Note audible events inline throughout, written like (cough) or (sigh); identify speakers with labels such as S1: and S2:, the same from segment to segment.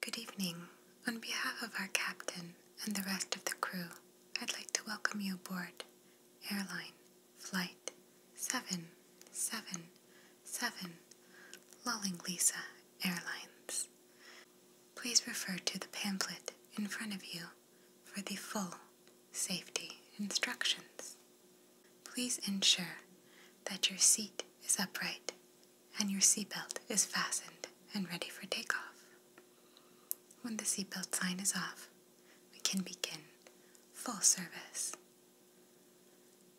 S1: Good evening. On behalf of our captain and the rest of the crew, I'd like to welcome you aboard airline flight 777 Lulling Lisa Airlines. Please refer to the pamphlet in front of you for the full safety instructions. Please ensure that your seat is upright and your seatbelt is fastened and ready for takeoff. When the seatbelt sign is off, we can begin full service.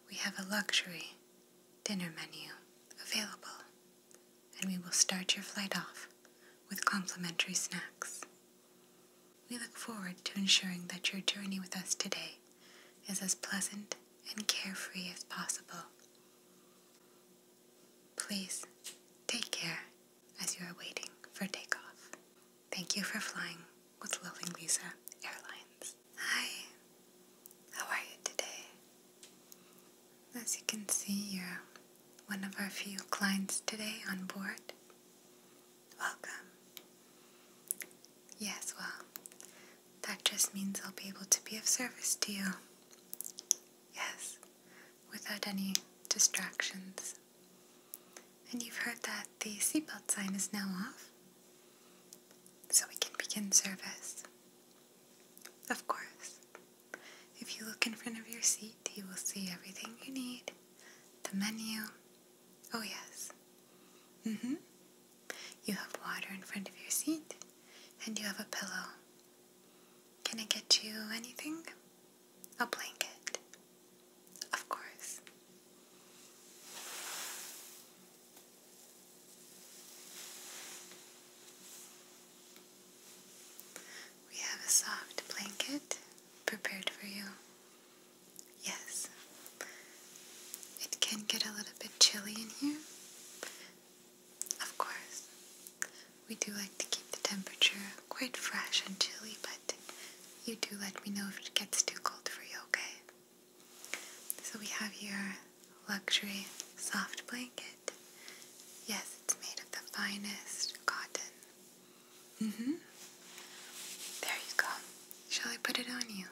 S1: We have a luxury dinner menu available, and we will start your flight off with complimentary snacks. We look forward to ensuring that your journey with us today is as pleasant and carefree as possible Please take care as you are waiting for takeoff. Thank you for flying with Loving Lisa Airlines. Hi, how are you today? As you can see, you're one of our few clients today on board. Welcome. Yes, well, that just means I'll be able to be of service to you. Yes, without any distractions. And you've heard that the seatbelt sign is now off, so we can begin service. Of course, if you look in front of your seat, you will see everything you need the menu. Oh, yes. Mm hmm. You have water in front of your seat, and you have a pillow. Can I get you anything? A blanket. Of course. We have a soft blanket prepared for you. Yes. It can get a little bit chilly in here, of course, we do like to keep the temperature quite fresh and chilly, but you do let me know if it gets too cold for you, okay? So we have your luxury soft blanket. Yes, it's made of the finest cotton. Mm-hmm. There you go. Shall I put it on you?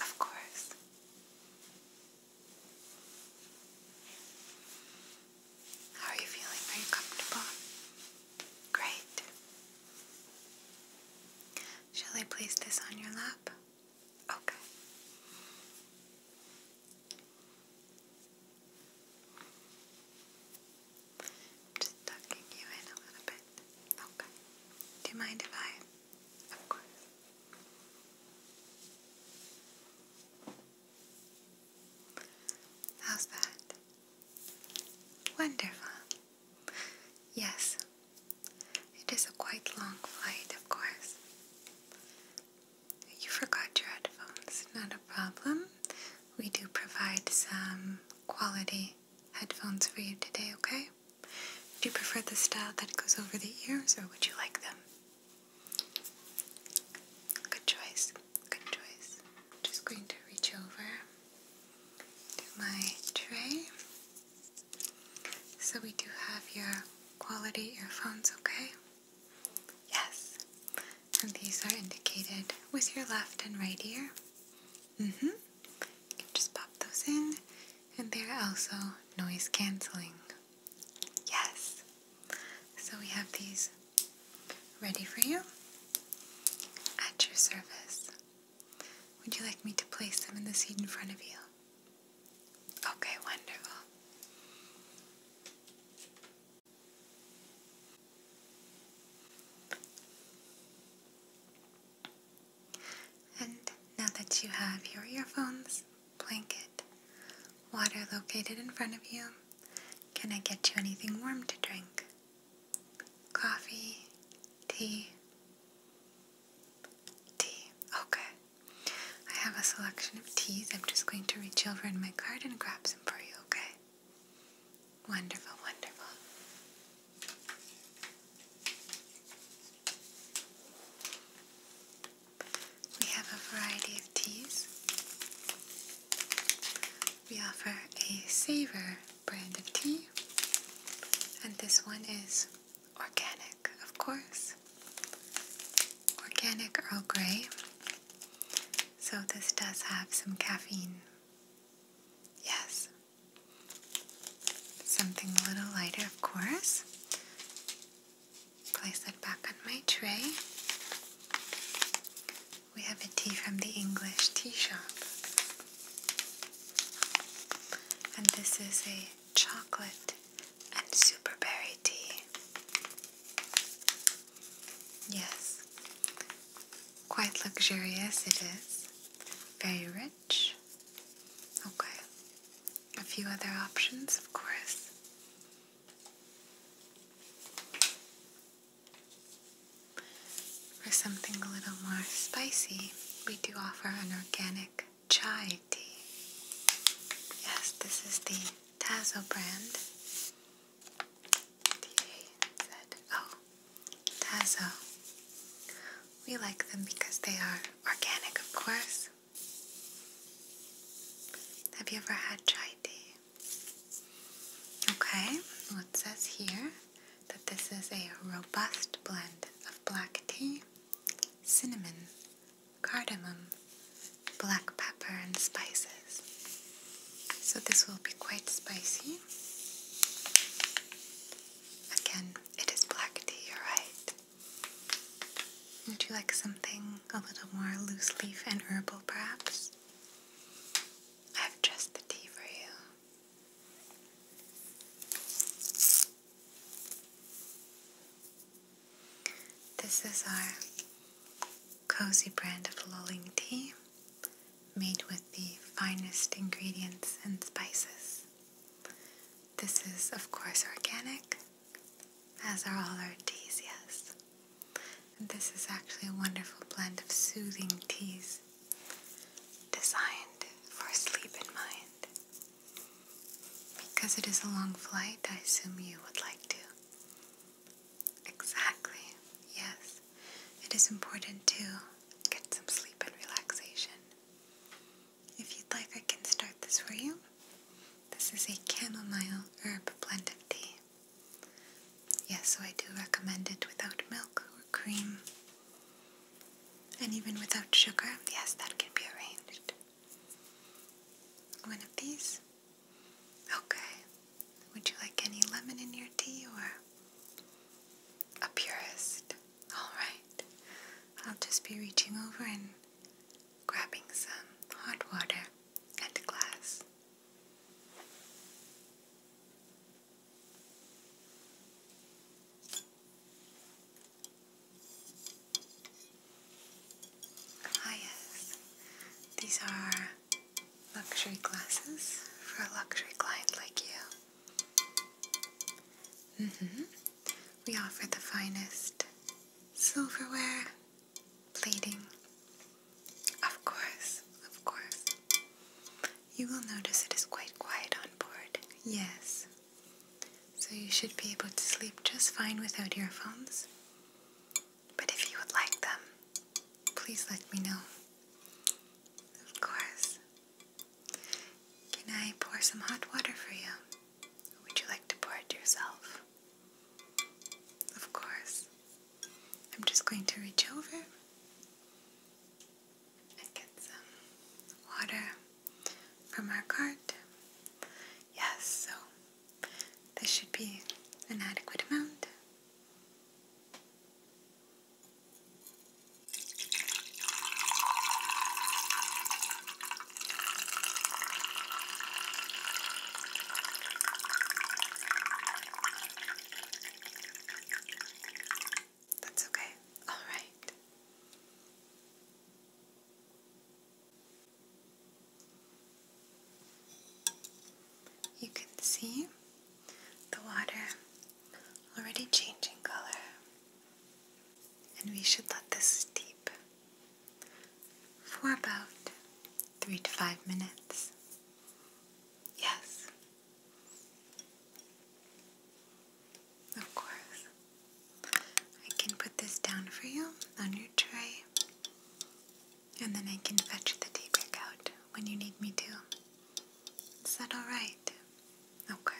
S1: Of course. How are you feeling? Are you comfortable? Great. Shall I place this on your lap? Okay. just tucking you in a little bit. Okay. Do you mind if I of course. How's that? Wonderful. Yes, it is a quite long flight, of course. You forgot your headphones, not a problem. We do provide some quality headphones for you today, okay? Do you prefer the style that goes over the ears or would you like them? Good choice. Good choice. I'm just going to reach over to my tray. So we do have your quality earphones, okay? Yes. And these are indicated with your left and right ear. Mm-hmm. You can just pop those in and they're also noise canceling. Yes! So we have these ready for you at your service. Would you like me to place them in the seat in front of you? Okay, wonderful. And now that you have your earphones, blanket, water located in front of you, can I get you anything warm to drink? Coffee, tea, tea, okay. I have a selection of teas. I'm just going to reach over in my cart and grab some for you, okay? Wonderful, wonderful. We have a variety of teas. We offer a Savor brand of tea, and this one is organic, of course. Organic Earl Grey. So this does have some caffeine. Yes, Something a little lighter, of course. Place it back on my tray. We have a tea from the English Tea Shop. And this is a chocolate and superberry tea. Yes, quite luxurious it is. Very rich. Okay. A few other options, of course. For something a little more spicy, we do offer an organic chai tea. Yes, this is the Tazo brand. T-A-Z-O. Tazo. We like them because they are Organic, of course. Have you ever had chai tea? Okay, it says here that this is a robust blend of black tea, cinnamon, cardamom, black pepper, and spices. So this will be quite spicy. Again, it is black tea, you're right. Would you like something a little more loose leaf and herbal, perhaps? I've dressed the tea for you. This is our cozy brand of lulling tea, made with the finest ingredients and spices. This is, of course, organic, as are all our teas, yes. this is actually a wonderful blend of soothing teas designed for sleep in mind. Because it is a long flight, I assume you would like to. Exactly, yes. It is important to get some sleep and relaxation. If you'd like, I can start this for you. This is a chamomile herb blend of tea. Yes, so I do recommend it without milk or cream. And even without sugar, yes, that can be arranged. One of these? Okay. Would you like any lemon in your tea or a purist? Alright, I'll just be reaching over and grabbing some hot water and glass. Ah these are luxury glasses for a luxury client like you. Mm hmm We offer the finest silverware, plating. Of course, of course. You will notice it is quite quiet on board. Yes. So you should be able to sleep just fine without earphones. But if you would like them, please let me know. Of course. Can I pour some hot water for you? Or would you like to pour it yourself? Of course. I'm just going to reach over and get some water from our cart. Yes, so this should be an adequate amount. That's okay. (laughs) All right. You can see the water already changing color and we should let this steep for about three to five minutes. Yes. Of course. I can put this down for you on your tray, and then I can fetch the tea break out when you need me to. Is that alright? Okay.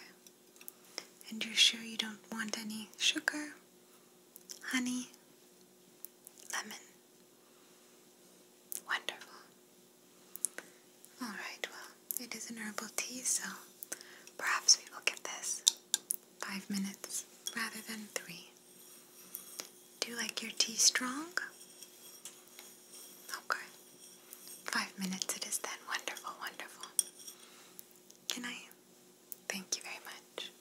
S1: And you're sure you don't want any sugar, honey, lemon? Wonderful. Alright, well, it is an herbal tea, so perhaps we will get this five minutes rather than three. Do you like your tea strong? Okay. Five minutes it is then. Wonderful, wonderful. Can I? Thank you very much.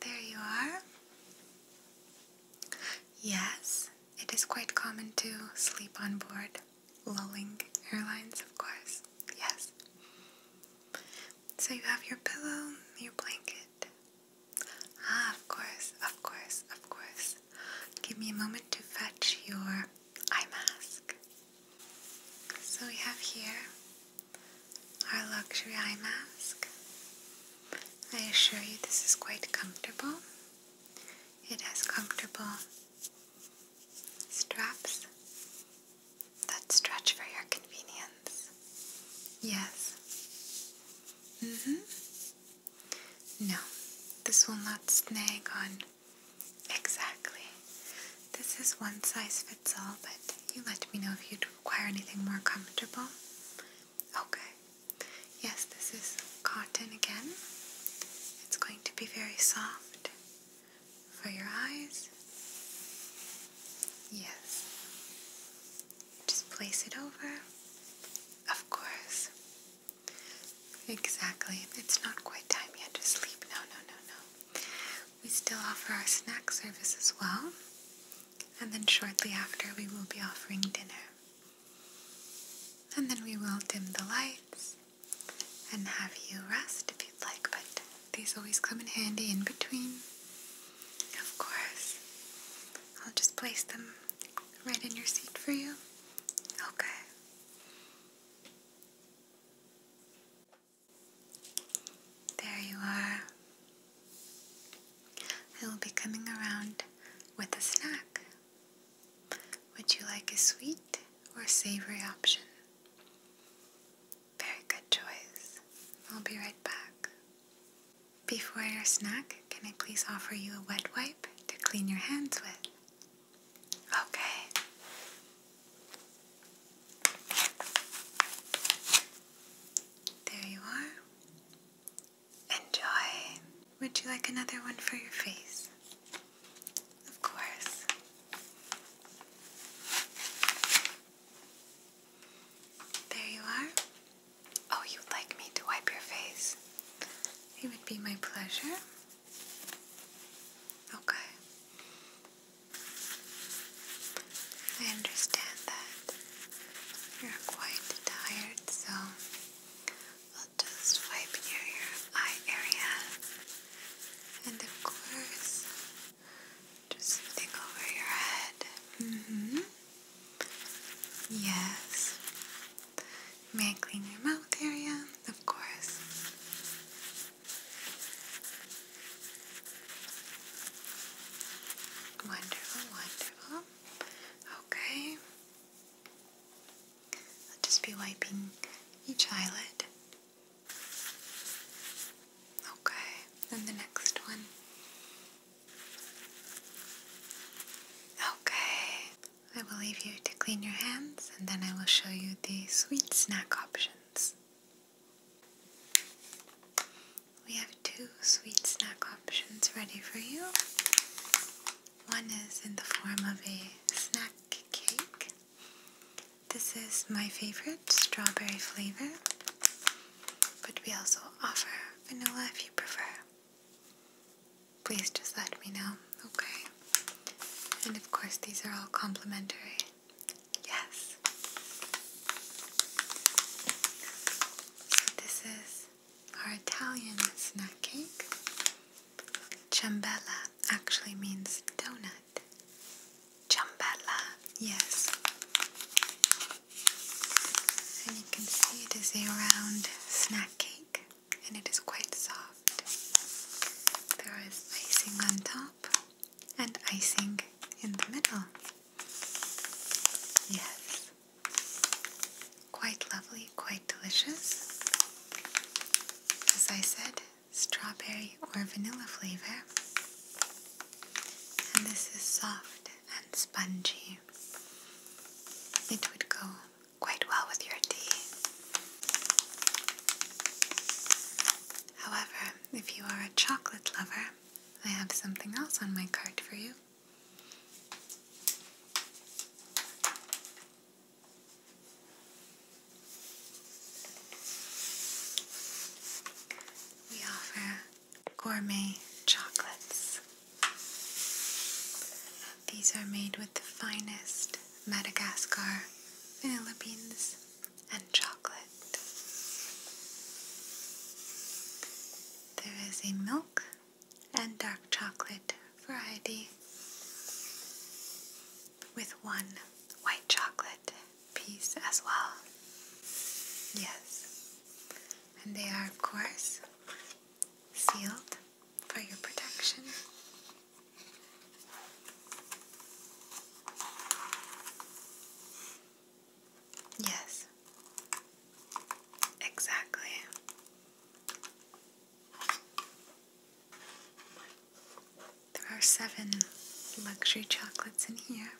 S1: There you are. Yes, it is quite common to sleep on board lulling airlines, of course. Yes. So you have your pillow, your blanket. Ah, of course, of course, of course. Give me a moment to fetch your eye mask. So we have here our luxury eye mask. I assure you this is quite comfortable. It has comfortable straps that stretch for your convenience. Yes. Mm-hmm. No, this will not snag on Exactly. This is one size fits all, but you let me know if you'd require anything more comfortable. Okay. Yes, this is cotton again. It's going to be very soft for your eyes. Yes. Just place it over. Of course. Exactly. It's not quite time yet to sleep. No, no, no, no. We still offer our snack service as well. And then shortly after, we will be offering dinner. And then we will dim the lights and have you rest if you'd like, but these always come in handy in between. Of course. I'll just place them right in your seat for you. Okay. There you are. I will be coming around with a snack. Would you like a sweet or savory option? Very good choice. I'll be right back. Before your snack, can I please offer you a wet wipe to clean your hands with? Okay. There you are. Enjoy. Would you like another one for your face? Of course. There you are. Oh, you'd like me to wipe your face? It would be my pleasure. Okay. I understand that you're quite tired, so I'll just wipe your eye area. And of course, just something over your head. Mm-hmm. Yes. May I clean your mouth area? Of course. Wonderful, wonderful. Okay. I'll just be wiping each eyelid. Okay, then the next one. Okay, I will leave you to clean your hands and then I will show you the sweet snack options. We have two sweet snack options ready for you. One is in the form of a snack cake. This is my favorite strawberry flavor, but we also offer vanilla if you prefer please just let me know, okay? And of course, these are all complimentary. Yes. this is our Italian snack cake. Ciambella actually means donut. Ciambella, yes. And you can see it is a round snack cake and it is quite soft. There is icing on top and icing in the middle. Yes, quite lovely, quite delicious. As I said, strawberry or vanilla flavor. And this is soft and spongy. It would go quite well with your tea. However, if you are a chocolate lover, I have something else on my card for you. We offer gourmet chocolates. These are made with the finest Madagascar vanilla beans and chocolate. There is a milk and dark chocolate variety with one white chocolate piece as well. Yes, and they are, of course, sealed for your protection. Yes, exactly. There are seven luxury chocolates in here.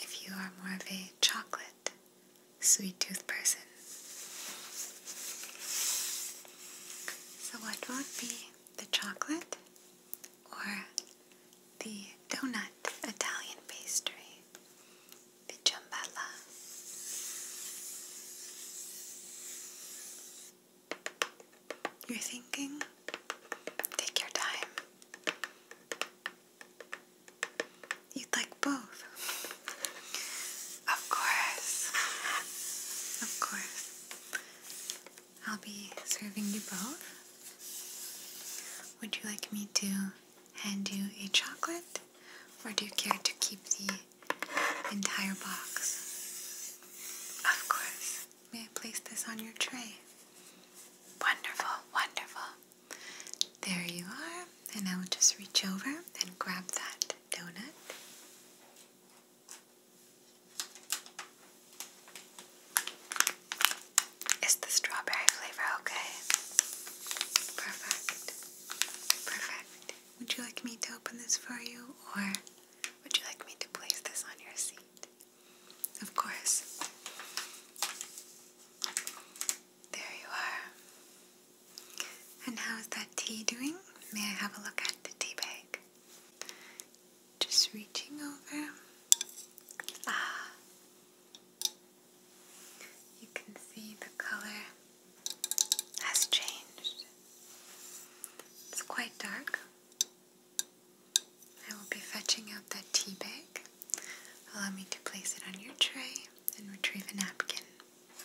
S1: If you are more of a chocolate sweet tooth person. So, what would be the chocolate or the donut Italian pastry? The ciambella. You're thinking? Take your time. You'd like both. (laughs) Of course. Of course. I'll be serving you both. Would you like me to hand you a chocolate? Or do you care to keep the entire box? Of course. May I place this on your tray? Wonderful, wonderful. There you are and I will just reach over and grab that donut. Is the strawberry flavor okay? Perfect. Perfect. Would you like me to open this for you or would you like me to place this on your seat? Of course. There you are. And how is that tea doing? May I have a look at the tea bag? Just reaching over. Ah. You can see the color has changed. It's quite dark. I will be fetching out that tea bag. Allow me to place it on your tray and retrieve a napkin.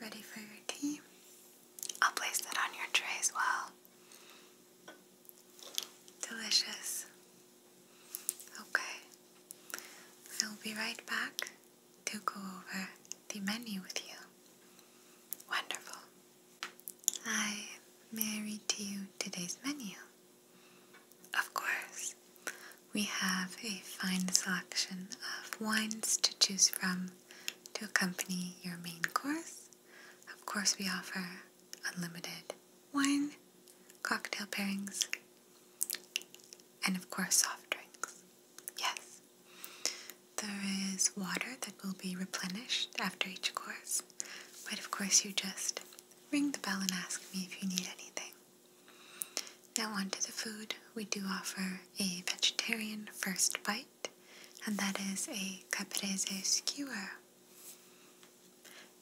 S1: Ready for your tea? I'll place that on your tray as well. Delicious. Okay. I'll be right back to go over the menu with you. Wonderful. I may I to you today's menu? Of course, we have a fine selection of wines to choose from to accompany your main course. Of course, we offer unlimited wine, cocktail pairings, and of course, soft drinks. Yes. There is water that will be replenished after each course, but of course, you just ring the bell and ask me if you need anything. Now on to the food. We do offer a vegetarian first bite, and that is a caprese skewer.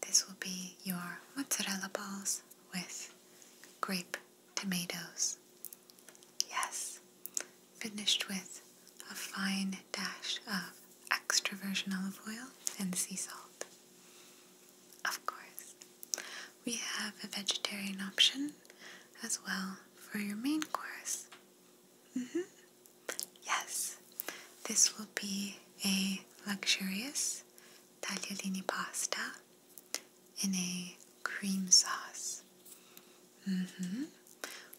S1: This will be your mozzarella balls with grape tomatoes. Yes, finished with a fine dash of extra virgin olive oil, and sea salt. Of course, we have a vegetarian option as well for your main course. Mm-hmm. Yes, this will be a luxurious tagliolini pasta in a cream sauce. Mm-hmm.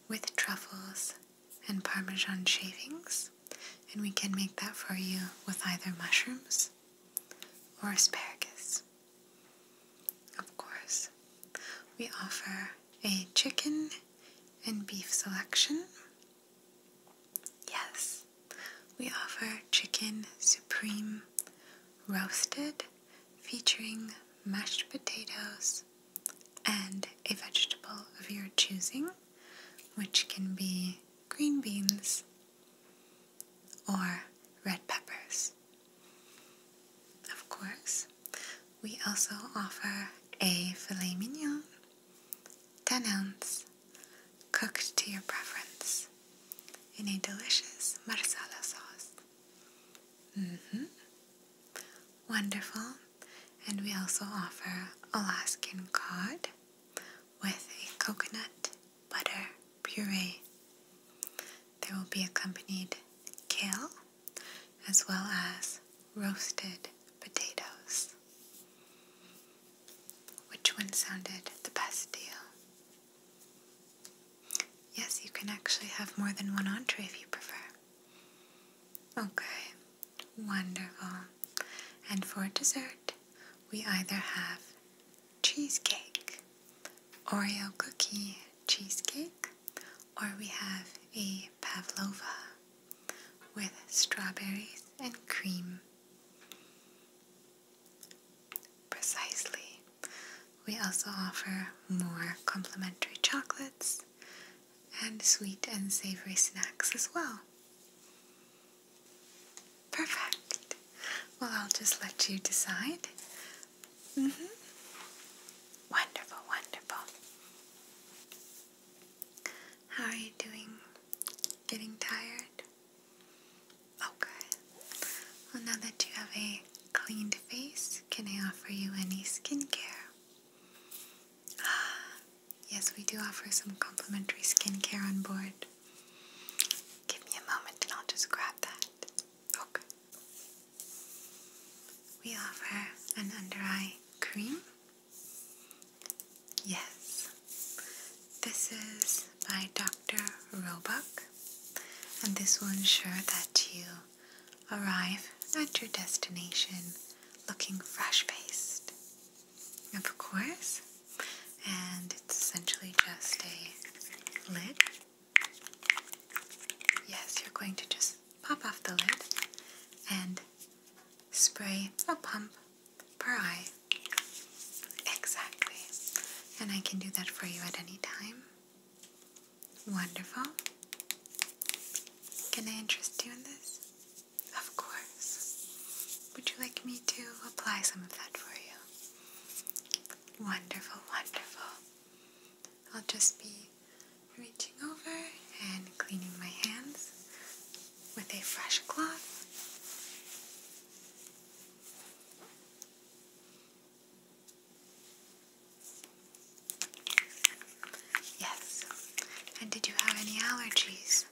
S1: With truffles and parmesan shavings, and we can make that for you with either mushrooms or asparagus. Of course, we offer a chicken and beef selection. Yes, we offer chicken supreme roasted featuring mashed potatoes and a vegetable of your choosing which can be green beans or red peppers. Of course, we also offer a filet mignon, 10 ounces, cooked to your preference, in a delicious marsala sauce. Mm -hmm. Wonderful. And we also offer Alaskan cod with a coconut butter puree. There will be accompanied kale as well as roasted potatoes. Which one sounded the best deal? Yes, you can actually have more than one entree if you prefer. Okay, wonderful. And for dessert, we either have cheesecake, Oreo cookie cheesecake, or we have a pavlova with strawberries and cream. Precisely. We also offer more complimentary chocolates and sweet and savory snacks as well. Perfect. Well, I'll just let you decide. Mm hmm Wonderful, wonderful. How are you doing? Getting tired? Okay. Oh, well, now that you have a cleaned face, can I offer you any skincare? Ah, (sighs) yes, we do offer some complimentary skincare on board. Give me a moment and I'll just grab that. Okay. We offer an under eye cream. Yes. This is by Dr. Roebuck, and this will ensure that you arrive at your destination looking fresh faced of course, and it's essentially just a lid. Yes, you're going to just pop off the lid and spray a pump per eye. Exactly. And I can do that for you at any time. Wonderful. Can I interest you in this? Of course. Would you like me to apply some of that for you? Wonderful, wonderful. I'll just be reaching over and cleaning my hands with a fresh cloth. Yes. And did you have any allergies?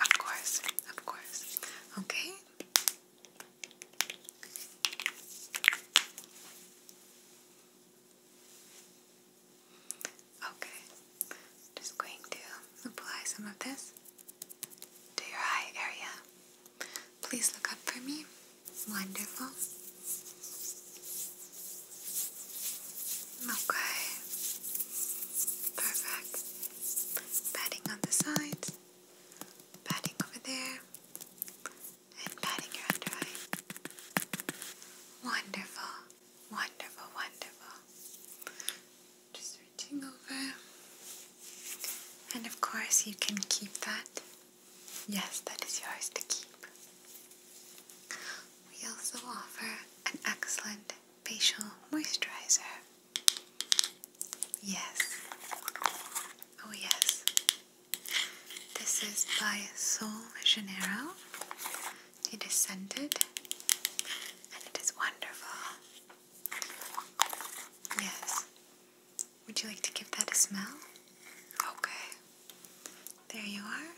S1: Of course, of course. Okay. Okay. Just going to apply some of this to your eye area. Please look up for me. Wonderful. Okay. Perfect. Patting on the sides, patting over there, and patting your under eye. Wonderful, wonderful, wonderful. Just reaching over. And of course, you can keep that. Yes, that is yours to keep. We also offer an excellent facial moisturizer. Yes. Oh, yes. This is by Sol Janeiro. It is scented and it is wonderful. Yes. Would you like to give that a smell? Okay. There you are.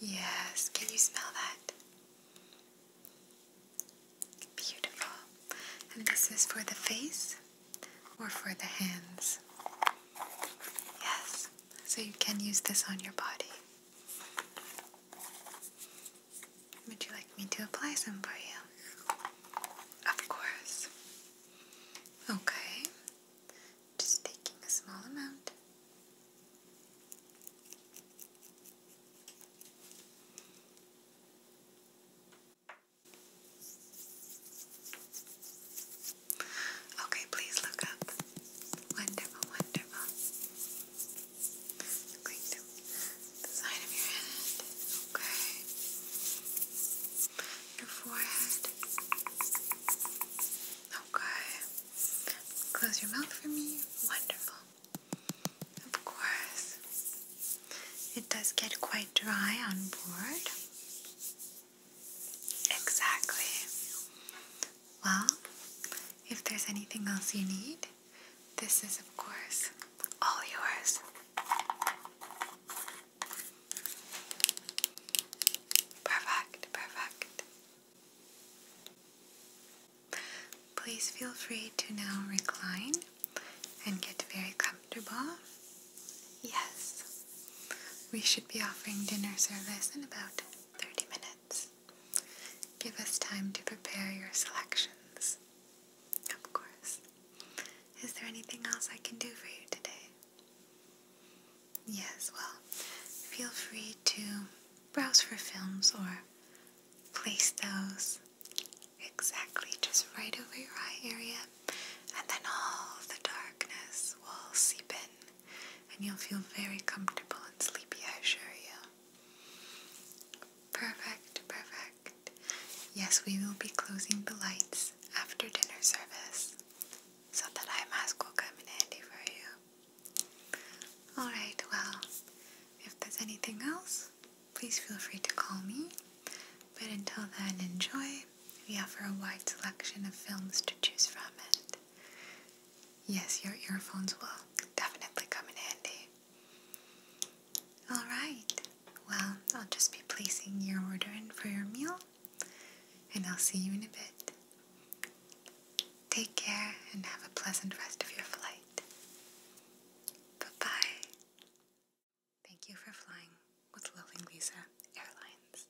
S1: Yes, can you smell that? Beautiful. And this is for the face or for the hands? Yes, so you can use this on your body. Would you like me to apply some for you? Of course. Okay, just taking a small amount. Okay, please look up. Wonderful, wonderful. i to the side of your head. Okay. Your forehead. Okay. Close your mouth for me. Wonderful. Of course. It does get quite dry on board. Exactly. Well, if there's anything else you need, this is, of course, all yours. Perfect, perfect. Please feel free to now recline and get very comfortable. Yes, we should be offering dinner service in about 30 minutes. Give us time to prepare your selections. Of course. Is there anything else I can do for you today? Yes, well, feel free to browse for films or place those exactly just right over your eye area, and then all the darkness will seep in, and you'll feel very comfortable and sleepy, I assure you. Perfect, perfect. Yes, we will be closing the lights after dinner service so that eye mask will come in handy for you. Alright, well, if there's anything else, please feel free to call me. But until then, enjoy. We offer a wide selection of films to choose from, and yes, your earphones will definitely come in handy. Alright, well, I'll just be placing your order in for your meal and I'll see you in a bit. Take care and have a pleasant rest of your flight. Bye-bye. Thank you for flying with Loving Lisa Airlines.